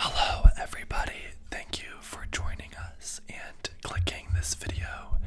Hello, everybody. Thank you for joining us and clicking this video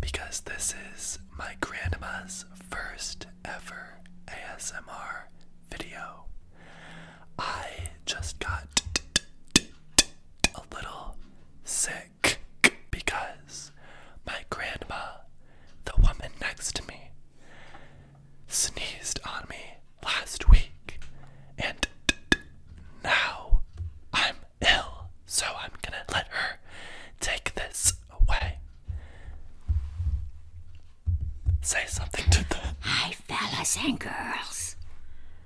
because this is my grandma's first ever ASMR video. I just got a little sick because my grandma, the woman next to me, sneezed on me last week, and now I'm ill, so I'm gonna let her take this away. Say something to them. Hi, fellas and girls.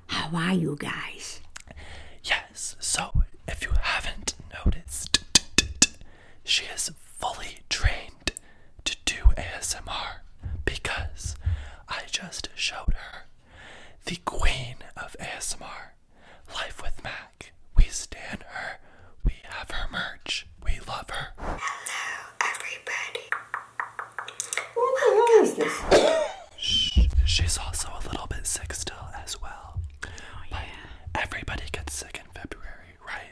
How are you guys? Yes, so if you haven't noticed, she is fully trained to do ASMR because I just showed her the queen of ASMR, Life with Mac. We stand her, we have her merch, we love her. Hello, everybody. Who is this? Shh. She's also a little bit sick still, as well. Oh, but everybody gets sick in February, right?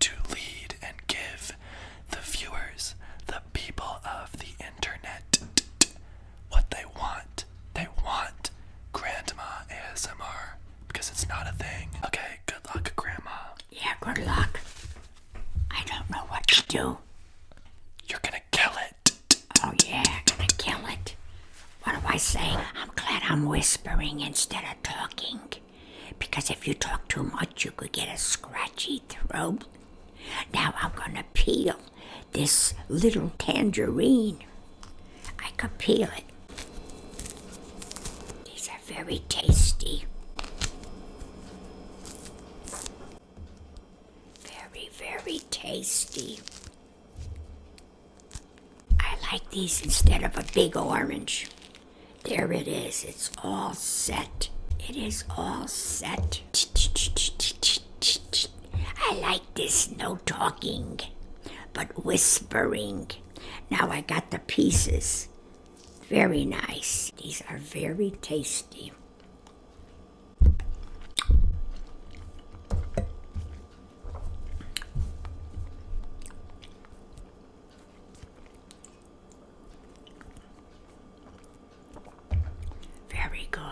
to lead and give the viewers, the people of the internet, what they want. They want Grandma ASMR because it's not a thing. Okay, good luck, Grandma. Yeah, good luck. I don't know what to do. You're gonna kill it. Oh, yeah, gonna kill it. What do I say? I'm glad I'm whispering instead of talking because if you talk too much, you could get a scratchy throat. Now I'm going to peel this little tangerine. I could peel it. These are very tasty. Very, very tasty. I like these instead of a big orange. There it is. It's all set. It is all set. I like this no talking, but whispering. Now I got the pieces. Very nice. These are very tasty. Very good.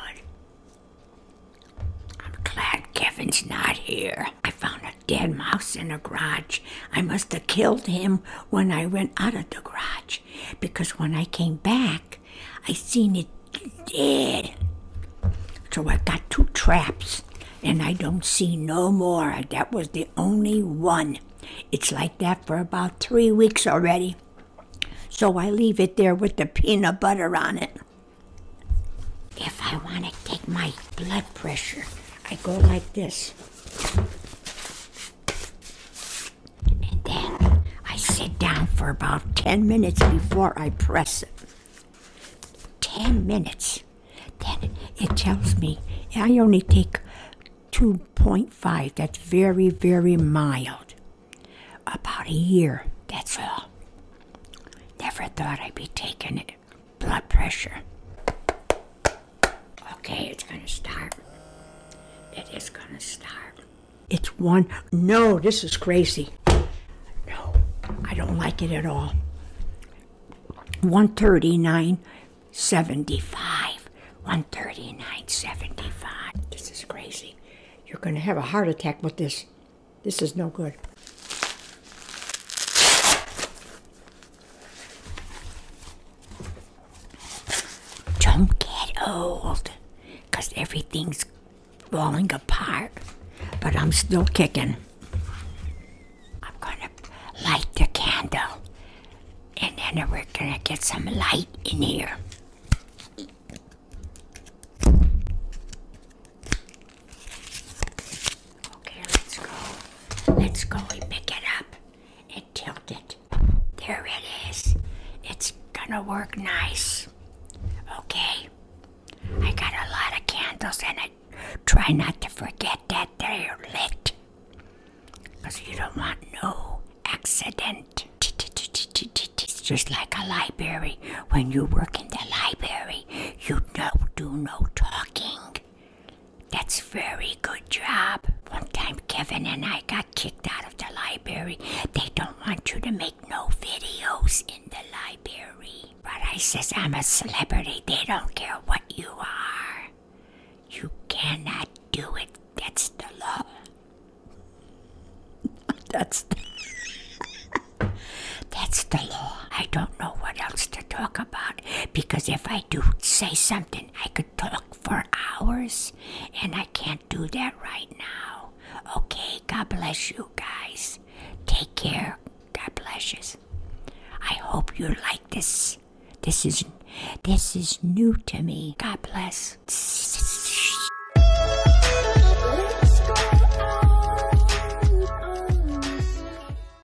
I'm glad Kevin's not here. I found a dead mouse in the garage. I must have killed him when I went out of the garage because when I came back, I seen it dead. So I got two traps and I don't see no more. That was the only one. It's like that for about three weeks already. So I leave it there with the peanut butter on it. If I want to take my blood pressure, I go like this. And then I sit down for about 10 minutes before I press it. 10 minutes. Then it tells me I only take 2.5. That's very, very mild. About a year, that's all. Never thought I'd be taking it. Blood pressure. Okay, it's gonna start. It is gonna start. It's one. No, this is crazy. No, I don't like it at all. 139.75. 139.75. This is crazy. You're going to have a heart attack with this. This is no good. Don't get old, because everything's falling apart. But I'm still kicking. I'm going to light the candle, and then we're going to get some light in here. Okay, let's go. Let's go and pick it up and tilt it. There it is. It's gonna work nice. Okay. I got a lot of candles in it. Try not to forget that they're lit. Because you don't want no accident. It's just like a library. When you work in the library, you know, do no talking. That's very good job. One time Kevin and I got kicked out of the library. They don't want you to make no videos in the library. But I says I'm a celebrity. They don't care what you are. You cannot do it. That's the law. That's the That's the law. I don't know what else to talk about because if I I do say something, I could talk for hours, and I can't do that right now. Okay, God bless you guys. Take care. God bless you. I hope you like this. This is this is new to me. God bless.